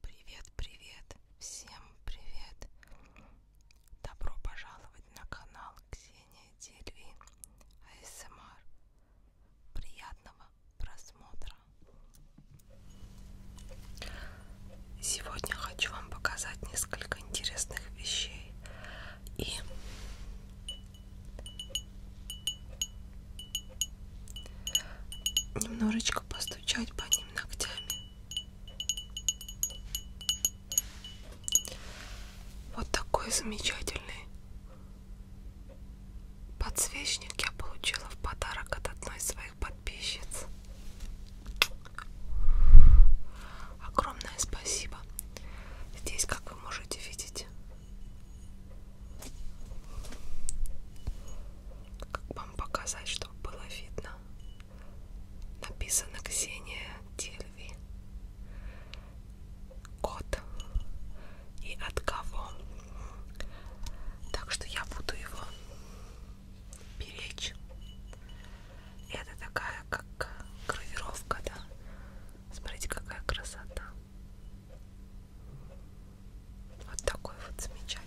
Привет, привет, всем привет! Добро пожаловать на канал Ксения Дельви АСМР. Приятного просмотра! Сегодня хочу вам показать несколько интересных вещей и немножечко постучать по ним ногтями. Вот такой замечательный подсвечник я получила в подарок от одной из своих подписчиц. Огромное спасибо. Здесь, как вы можете видеть, как вам показать, чтобы было видно. Написано Ксения Дельви. Код. И от кого. Так что я буду его беречь. Это такая как гравировка, да? Смотрите, какая красота. Вот такой вот замечательный.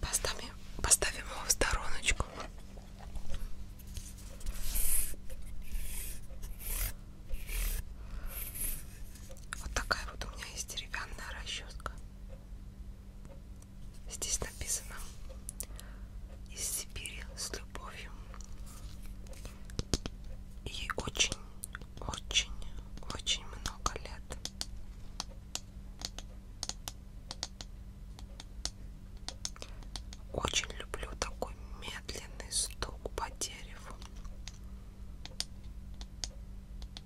Поставим, поставим его в стороночку. Вот такая вот у меня есть деревянная расческа. Здесь написано из Сибири с любовью. Ей очень, очень, очень много лет. Очень люблю такой медленный стук по дереву.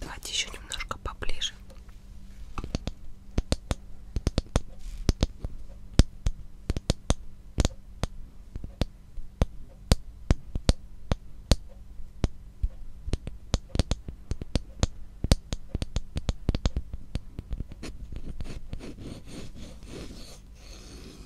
Давайте еще немножко поближе.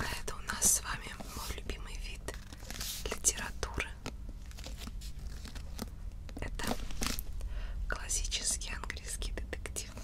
А это у нас с вами мой любимый вид литературы. Это классический английский детектив.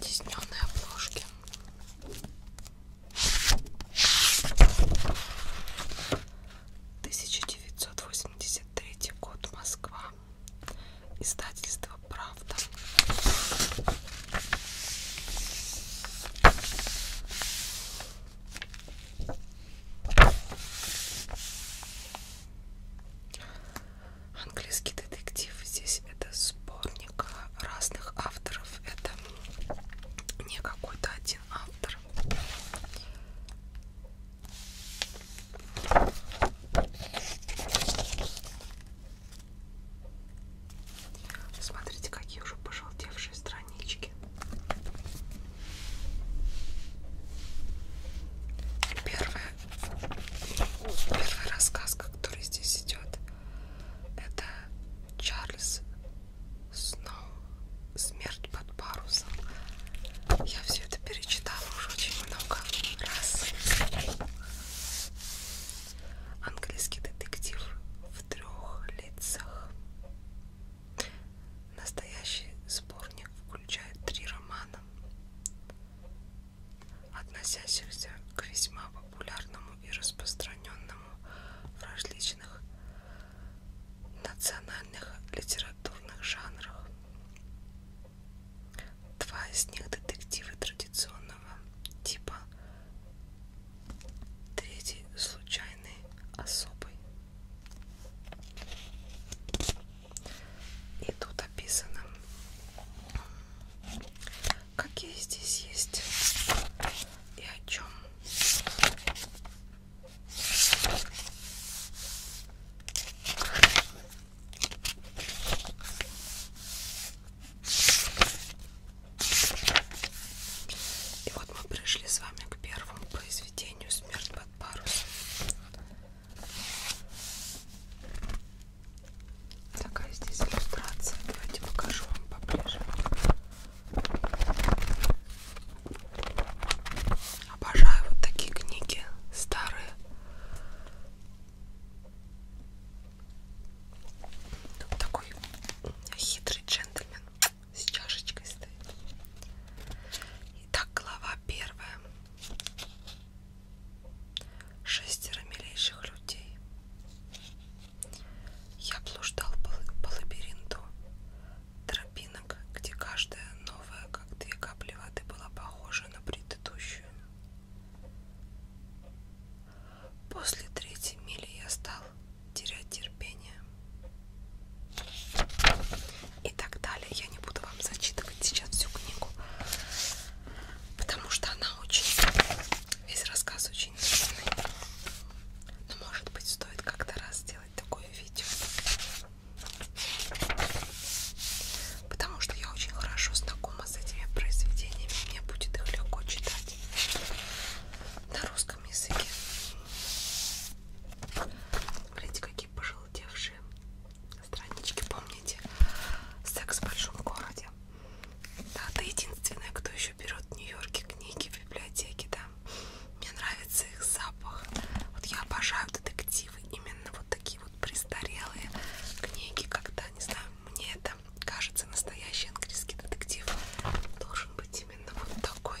тисненные обложки. Тысяча девятьсот восемьдесят третий год, Москва, издательство Правда. Английский детектив. Здесь здесь это сборник разных авторов. Это не какой-то один автор. Смотрите, какие уже пожелтевшие странички. Первая, первая рассказка, которая здесь идет, это Чарльз Сноу «Смерть под парусом». Я все это перечитала уже очень много раз. Английский детектив в трех лицах. Настоящий сборник включает три романа относящихся к весьма популярному и распространенному в различных национальных литературных жанрах. Два из них детективы традиционного типа, третий случайный особый. И тут описано какие здесь есть и о чем. И вот мы пришли с вами к первому произведению «Смерть под парусом». Такая здесь иллюстрация. Давайте покажу вам поближе. Обожаю вот такие книги старые. Тут такой хитрый джентльмен с чашечкой стоит. Итак, глава первая. Шестеро милейших людей. Я блуждал по, по лабиринту тропинок, где каждая новая, как две капли воды, была похожа на предыдущую. После третьей мили я стал терять терпение. И так далее. Я не буду вам зачитывать сейчас всю книгу, потому что она очень Весь рассказ очень длинный. Но может быть стоит как-то раз сделать такое видео. Потому что я очень хорошо знакома с этими произведениями. Мне будет их легко читать на русском языке. Смотрите, какие пожелтевшие странички. Помните секс в большом городе? Да, ты единственная, кто еще берет в Нью-Йорке книги в библиотеке, да. Мне нравится их запах. Вот я обожаю детективы, именно вот такие вот престарелые книги, когда, не знаю, мне это кажется, настоящий английский детектив должен быть именно вот такой.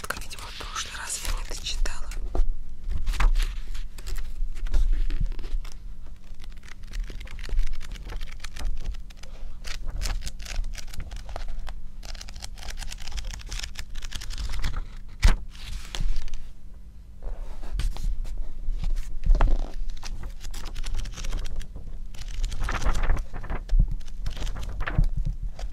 шоколадка, видимо, в прошлый раз я не дочитала.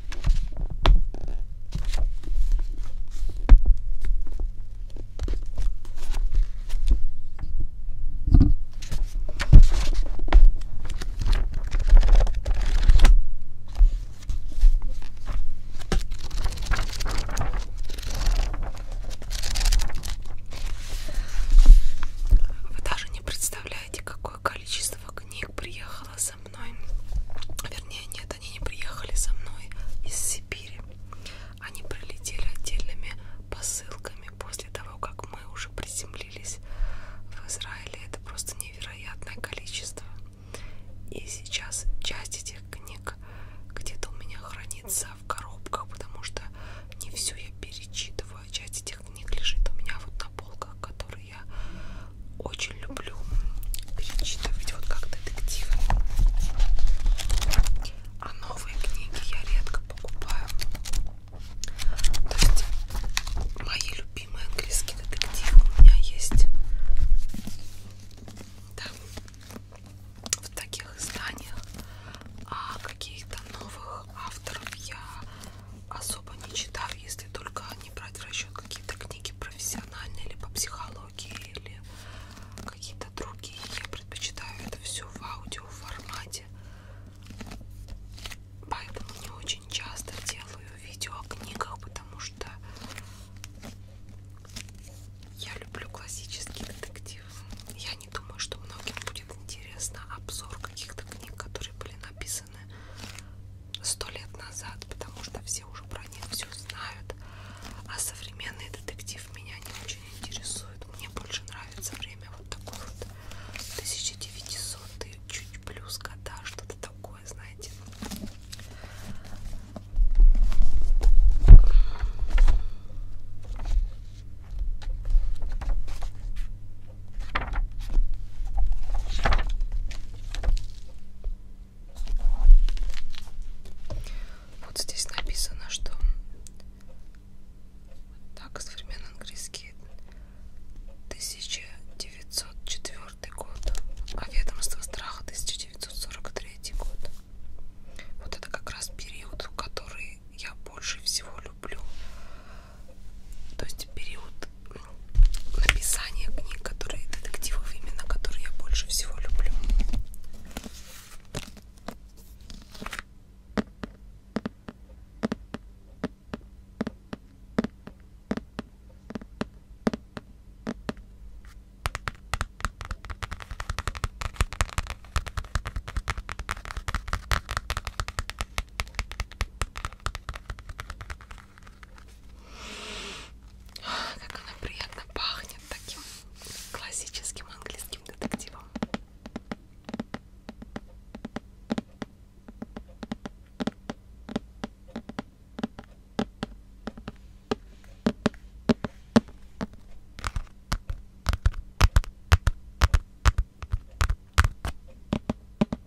Вы даже не представляете, какое количество книг приехало со мной. Вернее, нет, они не приехали со мной из Сибири. Они прилетели отдельными посылками после того, как мы уже приземлились в Израиле. Это просто невероятное количество. И сейчас часть этих книг где-то у меня хранится в коробках, потому что не всю я перечитываю. А часть этих книг лежит у меня вот на полках, которые которые я очень люблю перечитывать вот как детективы. А новые книги я редко покупаю. То есть мои любимые английские детективы у меня есть да, в таких изданиях. А каких-то новых авторов я особо не читаю, если только не брать в расчет какие-то книги книги профессиональные или по психологии, или какие-то другие. Я предпочитаю это все в аудио формате. Поэтому не очень часто делаю видео о книгах, потому что я люблю классический детектив. Я не думаю, что многим будет интересно обзор каких-то книг, которые были написаны написаны сто лет назад, потому что все уже про них все знают. А современный детектив меня не очень интересует. Мне больше нравится время вот такое вот 1900 чуть плюс года, что-то такое, знаете. Вот здесь написано, что так современный английский 1904 год, а ведомство страха 1943 год. Вот это как раз период, который я больше всего люблю. То есть период вот описание книг, которые детективов именно, которые я больше всего люблю. Как она приятно пахнет таким классическим английским детективом.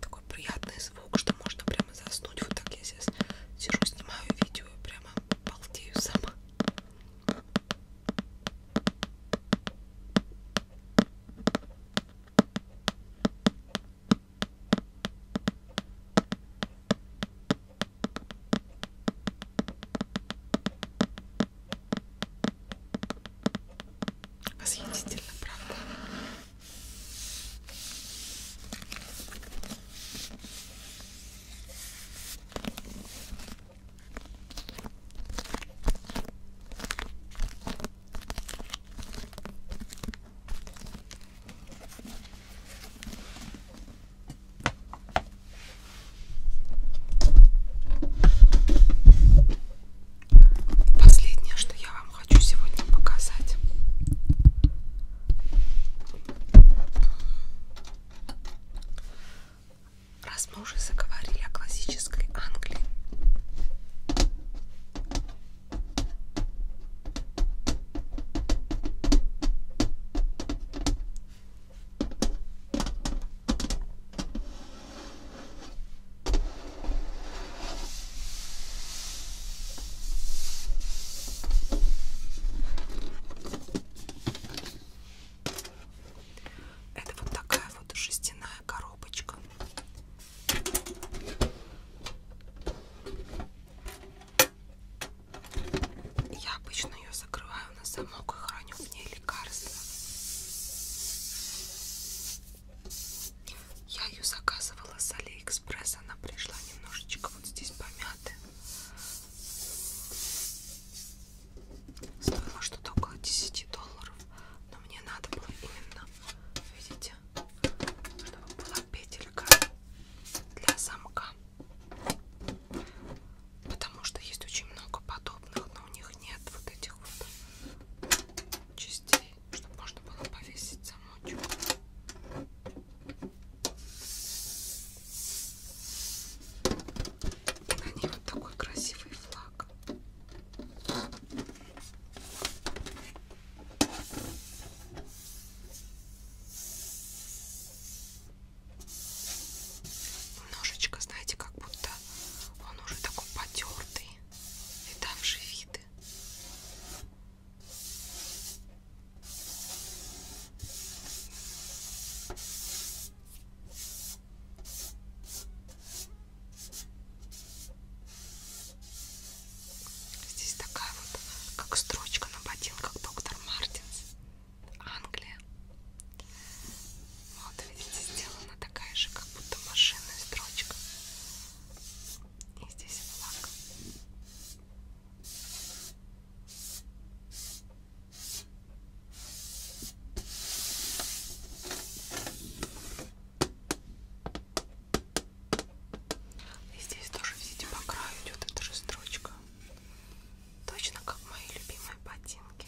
Такой приятный звук, что можно прямо заснуть. Вот так я сейчас сижу, снимаю видео и прямо балдею сама. Восхитительно, правда? Последнее, что я вам хочу сегодня показать. Раз мы уже заговорили о классической Англии, это вот такая вот жестяная коробочка. Я обычно ее закрываю на замок и храню в ней лекарства. Я ее заказывала с Алиэкспресс, она пришла немножечко вот здесь помятая. Стоило что-то около 10 долларов, но мне надо было именно, видите, чтобы была петелька для замка. Потому что есть очень много подобных, но у них нет вот этих вот частей чтобы можно было повесить замочек. И на ней вот такой красивый флаг. Немножечко, знаете, как будто он уже такой потертый, видавший вид защиты. Здесь такая вот, как строчка на ботинках доктор Мартинс, Англия. Вот видите, сделана такая же, как будто машинная строчка. И здесь флаг. И здесь тоже, видите, по краю идет эта же строчка. Точно как мои любимые ботинки.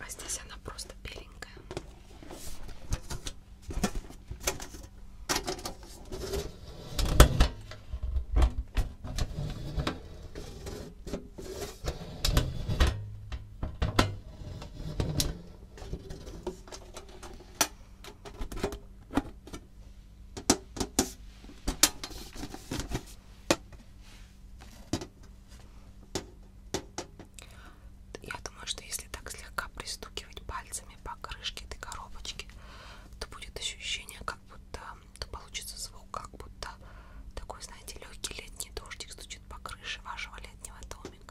А здесь она просто беленькая. Я думаю, что если так слегка пристукивать пальцами по крышке этой коробочки, то будет ощущение, как будто то получится звук, как будто такой, знаете, легкий летний дождик стучит по крыше вашего летнего домика.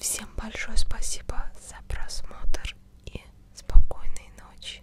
Всем большое спасибо за просмотр и спокойной ночи.